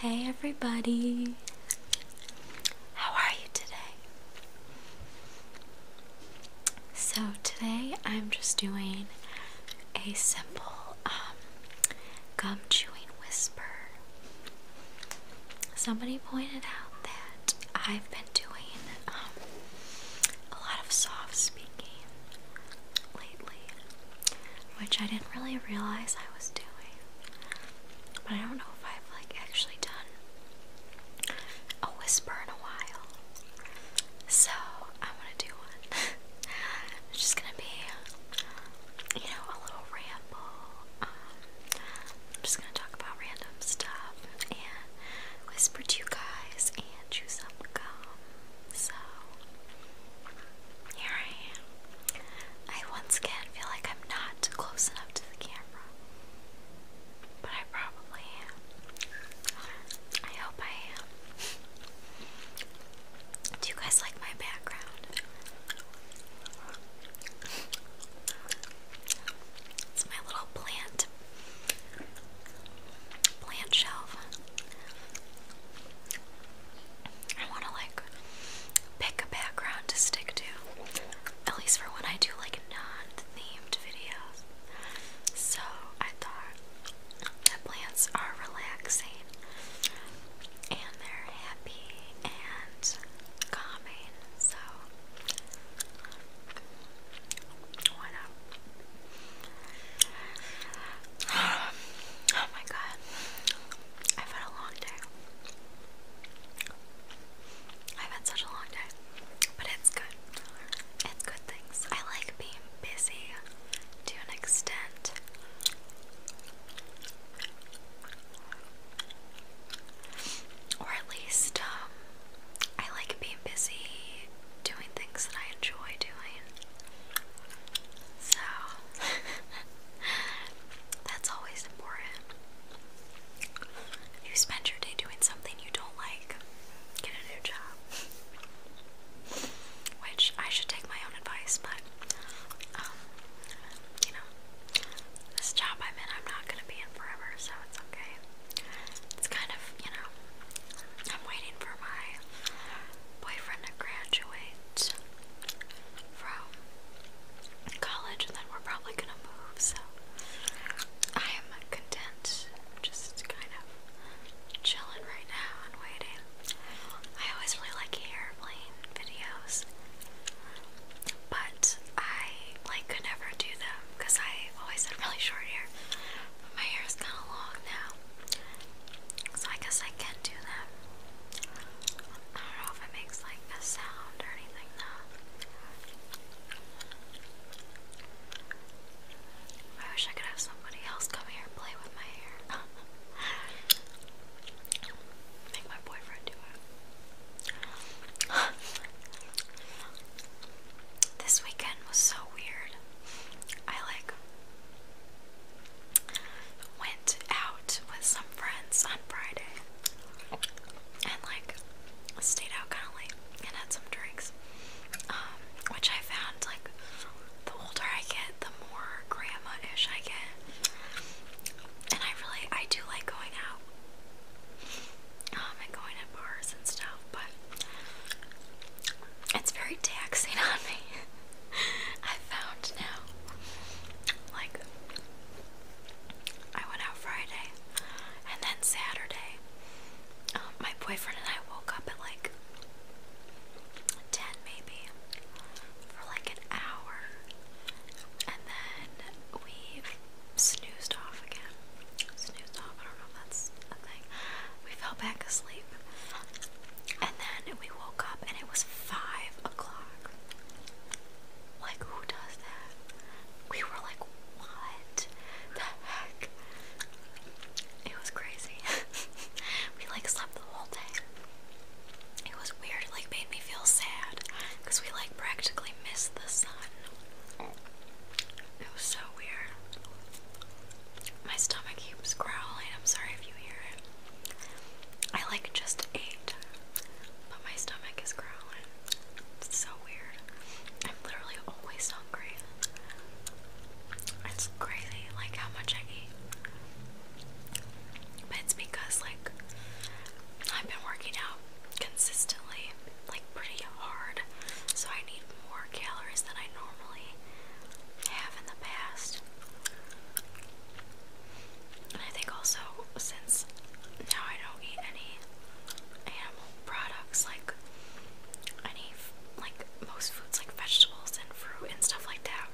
Hey everybody! How are you today? So, today I'm just doing a simple um, gum chewing whisper. Somebody pointed out that I've been doing um, a lot of soft speaking lately which I didn't really realize I was doing. But I don't know if I've like actually done a whisper in a while. So I'm gonna do one. it's just gonna be, you know, a little ramble. Um, just gonna talk about random stuff and whisper to you guys and chew some gum. So here I am. I once again feel like I'm not close enough to the camera. But I probably am. I hope I am. Do you guys like my background? It's my little plant plant shelf. I want to like pick a background to stick to, at least for when I do like non-themed videos. So I thought that plants are relaxing and they're happy and calming. So why not? oh my god. I've had a long day. I've had such a long day, but it's good. It's good things. I like being busy to an extent. Or at least, um, I like being busy doing things that I enjoy doing. So, That's always important. If you spend your day doing something you don't like, get a new job. Which I should take my own advice, but um, you know, this job I'm in, I'm not gonna be in forever, so it's okay. It's kind of, you know, I'm waiting for my boyfriend to graduate from college, and then we're probably gonna move, so I am content just kind of chilling right now and waiting. I always really like airplane videos, but I like could never do them because I always had really short hair. But my hair is kind of long now, I guess I can do that. I don't know if it makes like a sound or anything though. I wish I could have somebody else come here and play with my hair. Make my boyfriend do it. this weekend was so weird. I like went out with some friends on Friday and like stayed out kind of late and had some drinks. Um, which I found like the older I get, the more grandma-ish I get, and I really I do like going out um, and going to bars and stuff, but it's very taxing on me. I found now. Like, I went out Friday and then Saturday. Um, my boyfriend and I woke up at like 10 maybe for like an hour and then we snoozed off again. Snoozed off, I don't know if that's a thing. We fell back asleep and then we woke up and it was five o'clock. Like, who does that? We were like, what the heck? It was crazy. we like slept the whole day. It was weird. like made me feel sad because we like practically missed the sun. It was so weird. My stomach keeps growling. I'm sorry if you hear it. I like just ate, but my stomach is growling. It's so weird. I'm literally always hungry. It's crazy, like how much I eat. But it's because like I've been working out consistently, like pretty hard, so I need more calories than I normally have in the past. And I think also, since now I don't eat any animal products, like any, like most foods, like vegetables and fruit and stuff like that,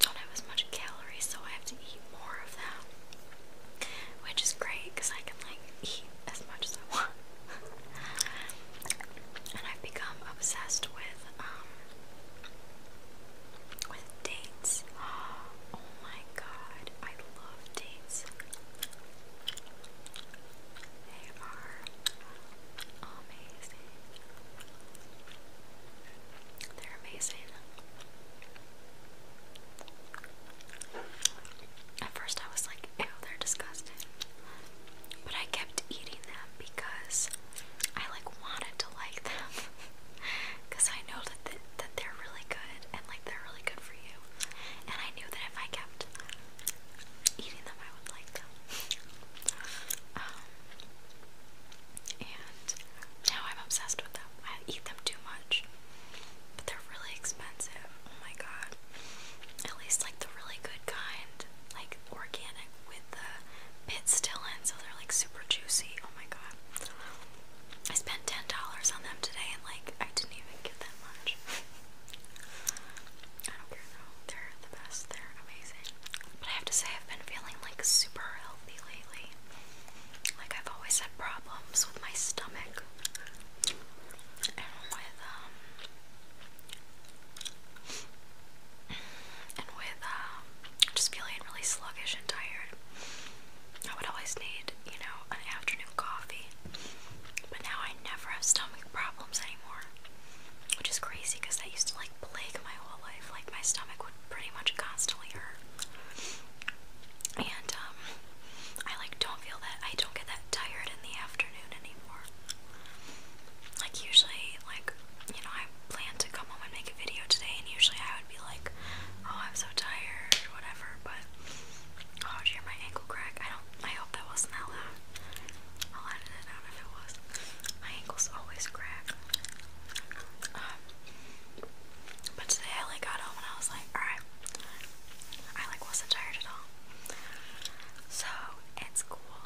don't have as much calories, so I have to eat more of them, Which is great because I can, like, eat as much as I want. and I've become obsessed with, um, with dates. Oh my god, I love dates. They are amazing. They're amazing. At first, I was like, ew, they're disgusting. But I kept eating them because I like wanted to like them because I know that th that they're really good and like they're really good for you. And I knew that if I kept eating them, I would like them. Um, and now I'm obsessed with them. I eat them too much, but they're really expensive. Oh my god! At least like the really good kind, like organic with the pit still in, so they're like super juicy. Oh my god. I spent ten dollars on them today and like I didn't even get that much. I don't care though. They're the best. They're amazing. But I have to say I've been feeling like super healthy lately. Like I've always had problems with my stomach and with um, just feeling really sluggish and tired, I would always need, you know, an afternoon coffee. But now I never have stomach problems anymore, which is crazy because that used to like plague my whole life. Like my stomach would pretty much constantly hurt, and um, I like don't feel that I don't get that tired in the afternoon anymore. Like usually, like you know, I plan to come home and make a video today, and usually I would be like, "Oh, I'm so tired," whatever. But oh, did you hear my ankle crack? I don't. I hope that wasn't that loud. I'll edit it out if it was. My ankles always crack. Um, but today I like got home and I was like, all right. I like wasn't tired at all. So it's cool.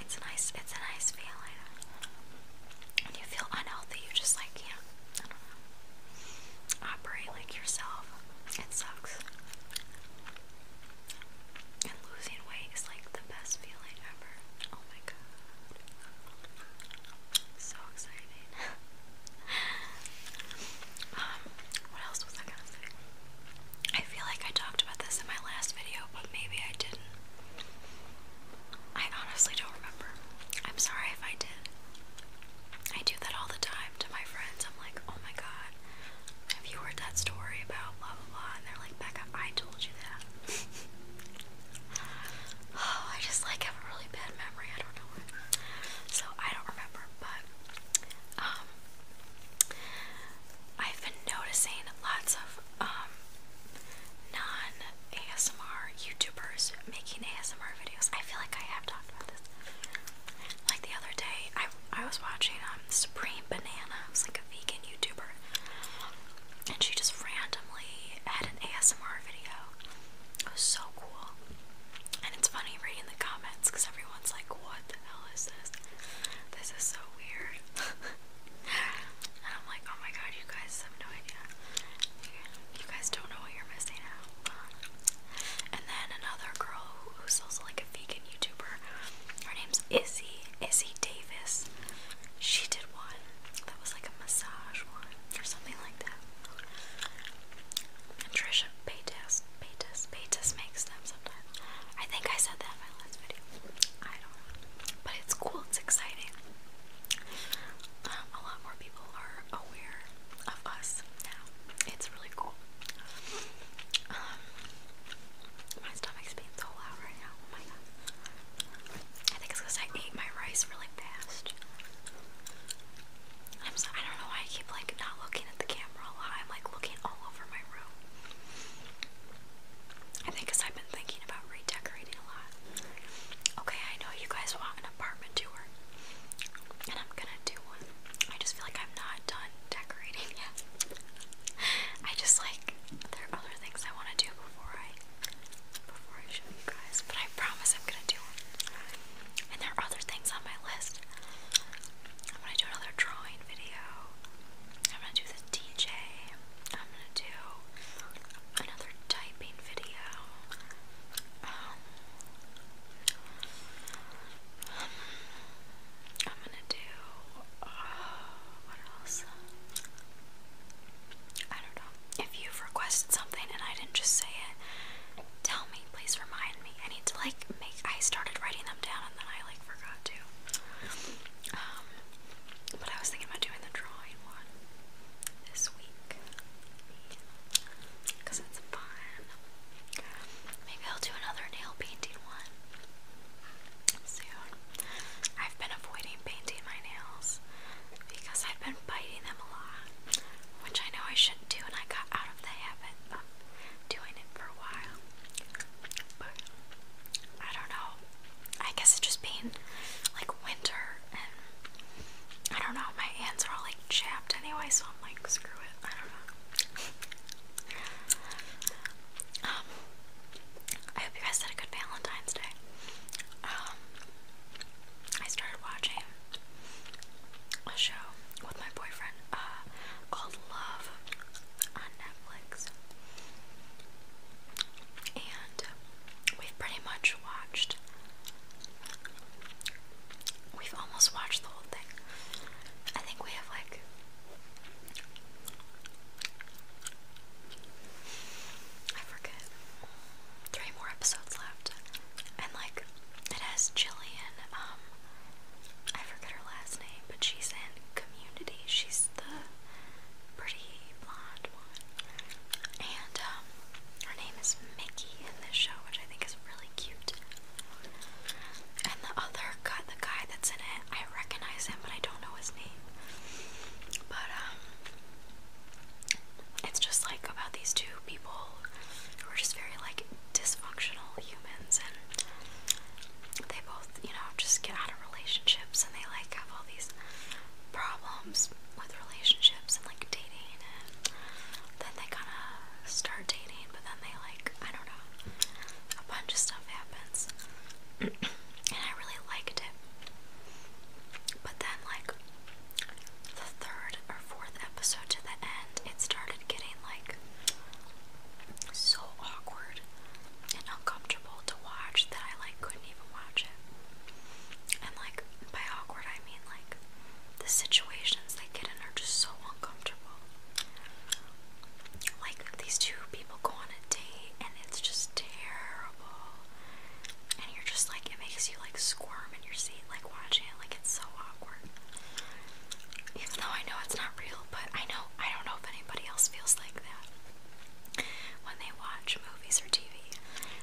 It's a nice, it's a nice feeling. When you feel unhealthy, you just like can I don't know, operate yourself. It sucks. And losing weight is like the best feeling ever. Oh my god. So exciting. um, what else was I gonna say? I feel like I talked about this in my last video, but maybe I didn't. I honestly don't remember. I'm sorry if I did. I do that all the time to my friends. I'm like, oh my god, have you heard that story about blah blah blah? And they're like, Becca, I told you that. oh, I just like have a really bad memory. I don't know So I don't remember, but um, I've been noticing lots of um, non ASMR YouTubers making ASMR videos. I feel like I have talked about this. Like the other day, I, I was watching um, Supreme Banana, who's like a vegan YouTuber, and she just randomly had an ASMR video. It was so cool. And it's funny reading the comments because everyone's like, what the hell is this? This is so weird. and I'm like, oh my god, you guys have no idea. You guys don't know what you're missing out And then another girl who's also like a vegan YouTuber, her name's Izzy, Izzy Davis. She did one that was like a massage one or something like that. Trisha Paytas Betas, betas, makes them sometimes. I think I said that in my last video. I don't know. But it's cool, it's exciting. Um, a lot more people are aware of us now. It's really cool. Um, my stomach's being so loud right now. Oh my god. I think it's because I ate my rice really fast. I'm so, I don't know why I keep like not looking at the camera I'm like looking all over my room. I think I've been thinking about redecorating a lot. Okay, I know you guys want an apartment tour, and I'm gonna do one. I just feel like I'm not done decorating yet. I just like there are other things I want to do before I before I show you guys, but I promise I'm gonna do one. And there are other things on my list. I'm gonna do another drawing. Halloween video. I'm gonna do the DJ. I'm gonna do another typing video. Um, I'm gonna do. Uh, what else? I don't know. If you've requested something and I didn't just say it, tell me. Please remind me. I need to like make. I started writing them down and then I like forgot to. Um, but I was thinking about doing the drawing one this week because it's fun. Maybe I'll do another nail painting one soon. I've been avoiding painting my nails because I've been biting them a lot, which I know I shouldn't do, and I got out of the habit of doing it for a while. I don't know. I guess it just being like winter and I don't know, my hands are all like chapped anyway, so I'm like screw it. I don't know. um I hope you guys had a good Valentine's Day. Um I started watching a show with my boyfriend, uh, called Love on Netflix. And we've pretty much watched, we've almost watched the whole thing. I think we have like, I forget, three more episodes left. And like, it has Jillian, um, I forgot her last name, but she's in Community. She's the pretty blonde one. And um, her name is Mickey in this show, which I think is really cute. And the other guy, the guy that's in it, I recognize him, but I don't know his name. But um, it's just like about these two people who are just very like dysfunctional humans and they both, you know, just get out of relationships and they like have all these problems with relationships and like dating and then they kind of start dating but then they like, I don't know, a bunch of stuff happens and I really liked it. But then like the third or fourth episode to the end it started getting like so awkward and uncomfortable to watch that I like couldn't even watch it. And like by awkward I mean like the situations they get in are just so uncomfortable. Like these two people go on a date and it's just terrible. And you're just like it makes you like squirm in your seat like watching it like it's so awkward. Even though I know it's not real, but I know I don't know if anybody else feels like that when they watch movies or TV.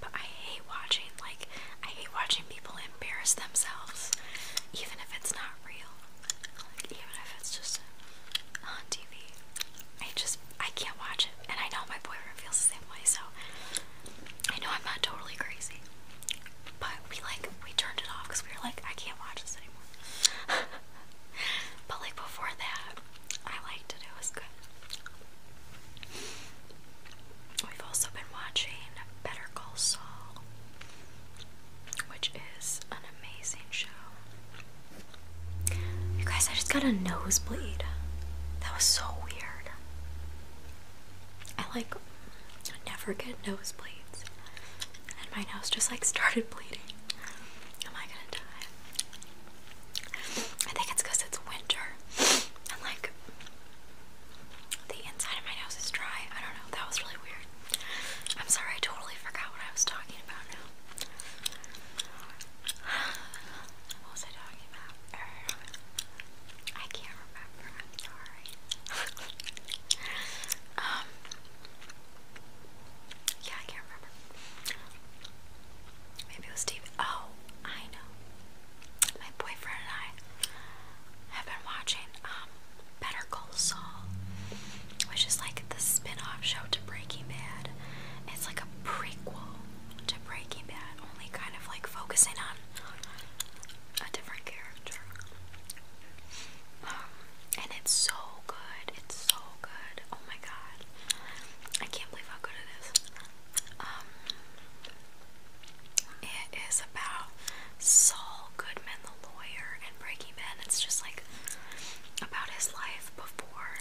But I hate watching like I hate watching people embarrass themselves, even if it's not real. even if it's just on TV, I just I can't watch it, and I know my boyfriend feels the same way. So I know I'm not totally crazy but we like we turned it off because we were like, I can't watch this anymore. but like before that, I liked it. It was good. We've also been watching Better Call Saul, which is an amazing show. You guys, I just got a nosebleed. That was so weird. I like I never get nosebleeds. And my nose just like started bleeding. Am I gonna die? I think it's because it's winter. And like the inside of my nose is dry. I don't know. That was really weird. I'm sorry, I totally forgot what I was talking about now. What was I talking about? Er, I can't remember. I'm sorry. Um, yeah, I can't remember. Maybe it was Steve. Oh, I know. My boyfriend and I have been watching um, Better Call Saul, which is like the spin-off show to Breaking Bad. It's like a prequel to Breaking Bad, only kind of like focusing on a different character. Um, and it's so good. It's so good. Oh my god. I can't believe how good it is. Um, it is about Saul Goodman, the lawyer, and Breaking Bad. It's just like about his life before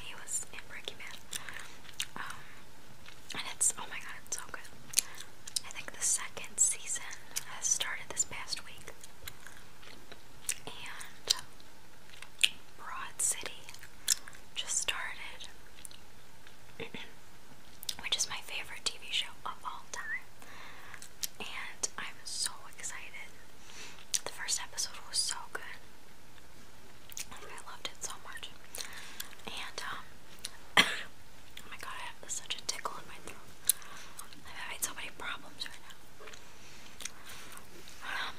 he was in Breaking Bad. Um, and it's, oh my god, it's so good. I think the second season has started this past week, and Broad City just started, which is my favorite TV show of all time, and I'm so excited. The first episode was so good. Like I loved it so much. And um oh my god, I have such a tickle in my throat. I'm having so many problems right now. Um,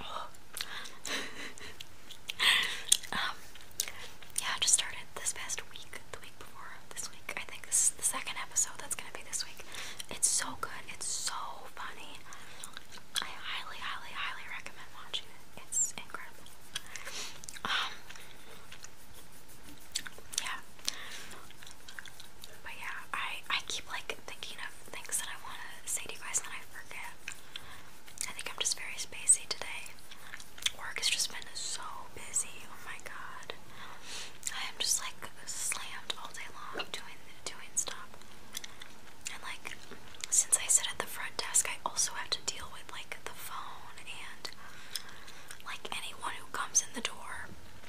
um, yeah, just started this past week, the week before this week. I think this is the second episode that's gonna be this week. It's so good, it's so funny. I highly, highly, highly recommend watching it's incredible. Um, yeah. But yeah, I I keep like thinking of things that I want to say to you guys, and I forget. I think I'm just very spacey today. Work has just been so busy. Oh my god. I am just like slammed all day long doing doing stuff. And like since I sit at the front desk, I also have to deal with with like the phone and like anyone who comes in the door.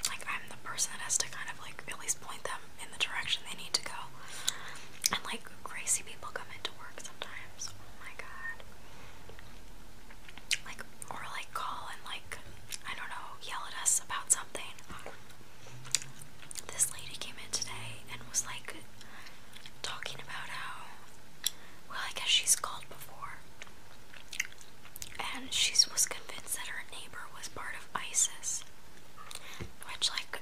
Like I'm the person that has to kind of like at least point them in the direction they need to go. And like crazy people come into work sometimes. Oh my god. Like or like call and like I don't know, yell at us about something. This lady came in today and was like talking about how, well, I guess she's called before, and she was convinced that her neighbor was part of ISIS, which, like,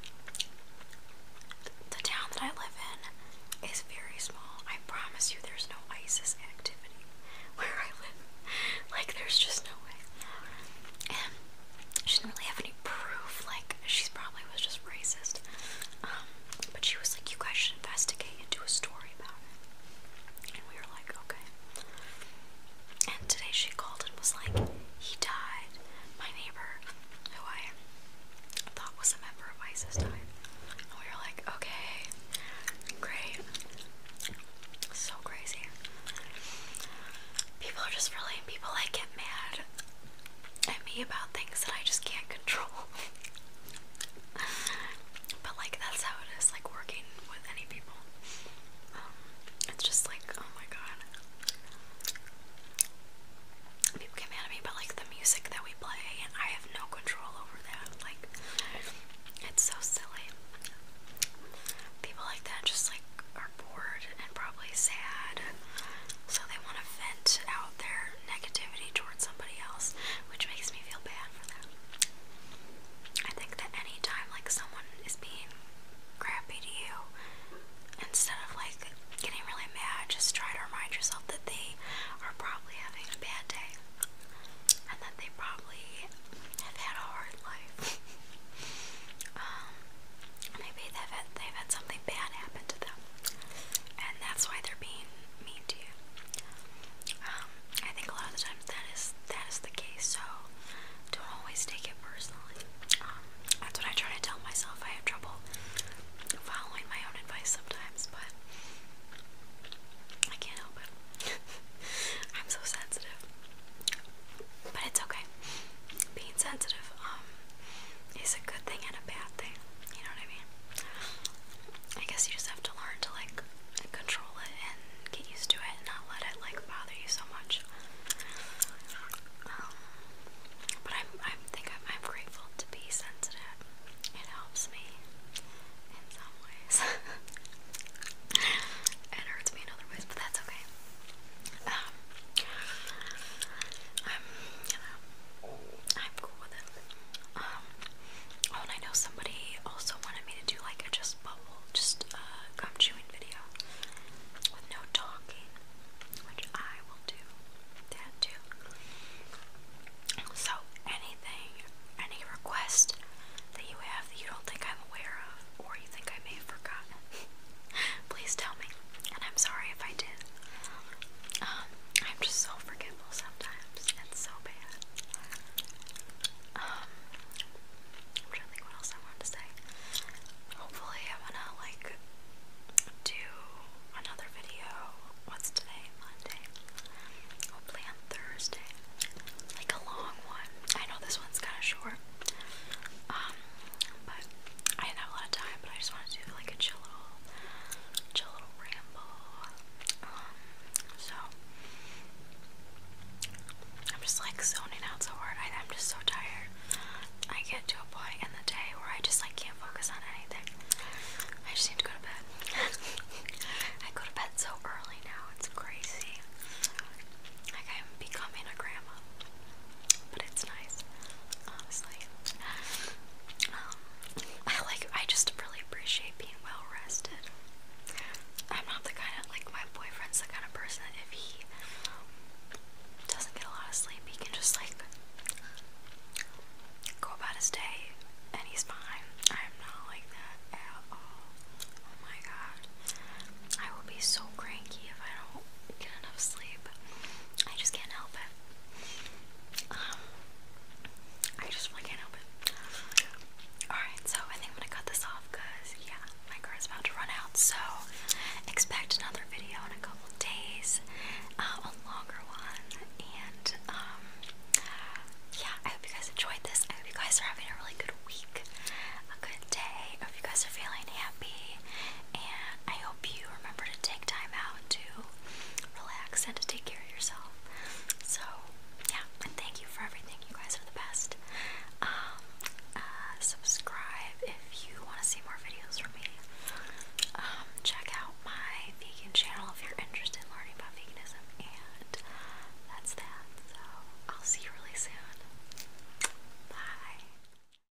the town that I live in is very small. I promise you, there's no ISIS activity where I live. Like, there's just no way. And she didn't really have any proof. Like, she probably was just racist. Um, but she was like, you guys should investigate and do a story about it. And we were like, okay. And today she called and was like, he died. My neighbor, who I thought was a member of ISIS, died. And we were like, okay, great. So crazy. People are just really, people like get mad at me about things that I just can't control. but like that's how it is, like working with any people. Um, it's just like, oh my god. People get mad at me about like the music that we play and I have no control over that. Like it's so silly. People like that just like are bored and probably sad. So they want to vent out their negativity towards somebody else, which makes me feel bad for them. I think that anytime like someone is being crappy to you, instead of like getting really mad, just try to remind yourself that they are probably having a bad day and that they probably have had a hard life. Um, maybe they've had, they've had something bad happen to them and that's why they're being mean to you. Um, I think a lot of the times that is that is the case. So don't always take it personally. Um, that's what I try to tell myself. I have trouble following my own advice sometimes, but I can't help it. I'm so sensitive, but it's okay. Being sensitive, um, it's a good thing and a bad thing. You know what I mean? I guess you just have to learn to like control it and get used to it and not let it like bother you so much. Um, but I'm, I think I'm, grateful to be sensitive. It helps me in some ways. it hurts me in other ways, but that's okay. Um, I'm, you know, I'm cool with it. Um, oh, and I know somebody also wanted me to do like a just bubble, just uh, gum chewing video with no talking, which I will do that too. So, anything, any request that you have that you don't think I'm aware of, or you think I may have forgotten, Please tell me. And I'm sorry if I did. Um, I'm just so forgetful sometimes. It's so bad. Um, trying to think what else I wanted to say. Hopefully, I want to, like, do another video. What's today? Monday. Hopefully, on Thursday. Like a long one. I know this one's kind of short. Um, but I didn't have a lot of time, but I just wanted to do like a chill chill little ramble. Um, so I'm just like zoning out so hard. I, I'm just so tired. I get to a point in the day where I just like can't focus on anything. I just need to go to bed. I go to bed so early now. It's crazy. Like I'm becoming a grandma but it's nice, honestly. Um, I like, I just really appreciate being well rested. I'm not the kind of, like, my boyfriend's the kind of person that if he um, doesn't get a lot of sleep, he can just, like, go about his day and he's fine. I'm not like that at all. Oh my god. I will be so cranky if I don't get enough sleep. I just can't help it. Um, I just can't help it. Alright, so I think I'm gonna cut this off because, yeah, my car is about to run out. So, expect another video in a couple days, uh, a longer one. And, um, yeah, I hope you guys enjoyed this. I hope you guys are having a really good week, a good day. I hope you guys are feeling happy. And I hope you remember to take time out to relax and to take care of yourself. So, yeah, and thank you for everything. You guys are the best. Um, uh, subscribe if you want to see more videos from me. Um, check out my vegan channel if you're interested in learning about veganism. And that's that. So, I'll see you really soon. Bye.